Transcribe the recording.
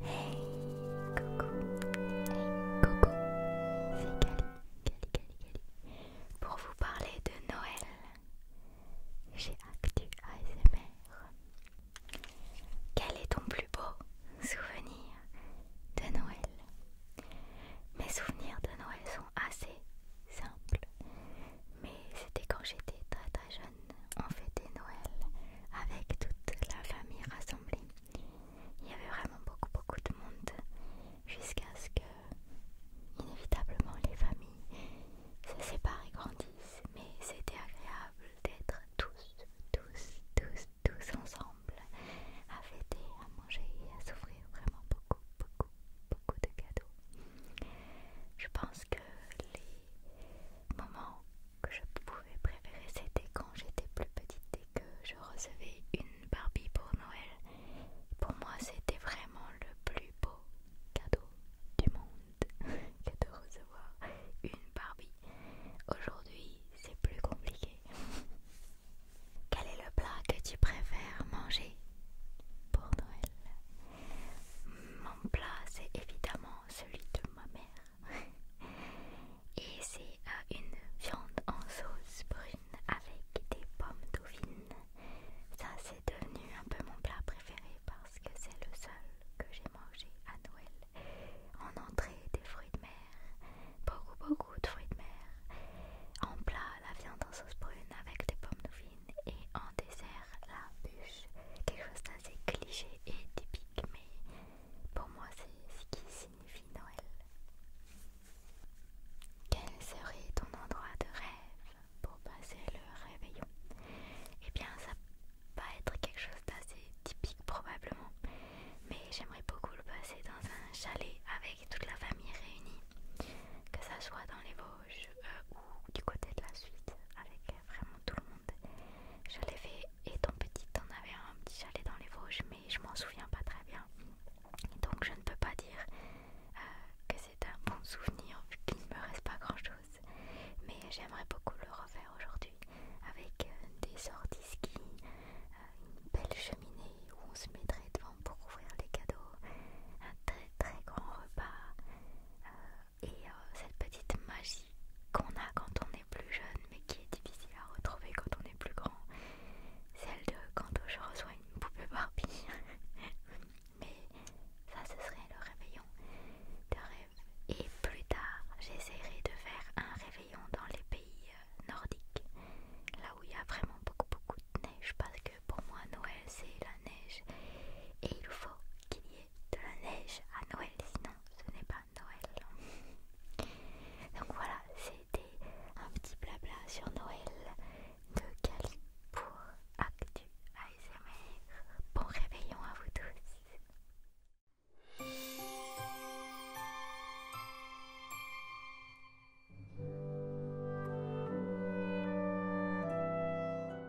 Hey, coucou. Hey, coucou. C'est Gali, Kali Pour vous parler de Noël, j'ai Actu ASMR. Quel est ton plus beau souvenir de Noël Mes souvenirs de Noël sont assez simple Mais c'était quand j'étais très très jeune, on fêtait Noël avec toute la famille rassemblée. Il y avait vraiment beaucoup beaucoup de monde jusqu'à ce que inévitablement les familles se séparent et grandissent. Mais c'était agréable d'être tous, tous, tous tous ensemble à fêter, à manger et à souffrir vraiment beaucoup, beaucoup, beaucoup de cadeaux. Je pense que les moments que je pouvais préférer, c'était quand j'étais plus petite et que je recevais une Barbie pour Noël. Pour moi, c'était vraiment le plus beau cadeau du monde. que de recevoir une Barbie. Aujourd'hui, c'est plus compliqué. Quel est le plat que tu préfères manger pour Noël Mon plat, c'est évidemment celui de ma mère. Et c'est euh, une viande en sauce brune avec des pommes dauphines. Ça, c'est devenu un peu mon plat préféré parce que c'est le seul que j'ai mangé à Noël. En entrée, des fruits de mer, beaucoup beaucoup de fruits de mer. En plat, la viande en sauce brune avec des pommes de nouvines et en dessert, la bûche. Quelque chose d'assez cliché et typique, mais pour moi, c'est ce qui signifie Noël. Quel serait ton endroit de rêve pour passer le réveillon Et eh bien ça va être quelque chose d'assez typique probablement mais j'aimerais beaucoup le passer dans un chalet avec toute la famille réunie que ça soit dans les Vosges euh, ou du côté de la Suisse avec vraiment tout le monde je l'ai fait étant petit, on avait un petit chalet dans les Vosges mais je m'en souviens pas très bien donc je ne peux pas dire euh, que c'est un bon souvenir vu qu'il ne me reste pas grand chose. Mais j'aimerais beaucoup le refaire aujourd'hui avec euh, des sorties ski, euh, une belle cheminée où on se mettrait devant pour ouvrir les cadeaux, un très très grand repas et cette petite magie qu'on a quand on est plus jeune mais qui est difficile à retrouver quand on est plus grand, celle de quand je reçois une poupée Barbie. mais ça ce serait le réveillon de rêve. Et plus tard j'essaierai de faire un réveillon dans les pays euh, nordiques, là où il y a vraiment beaucoup beaucoup de neige parce que pour moi Noël c'est la neige et il faut qu'il y ait de la neige à Noël sinon ce n'est pas Noël. Donc voilà, c'était un petit blabla sur Noël de Cali pour Actu ASMR. Bon réveillon à vous tous.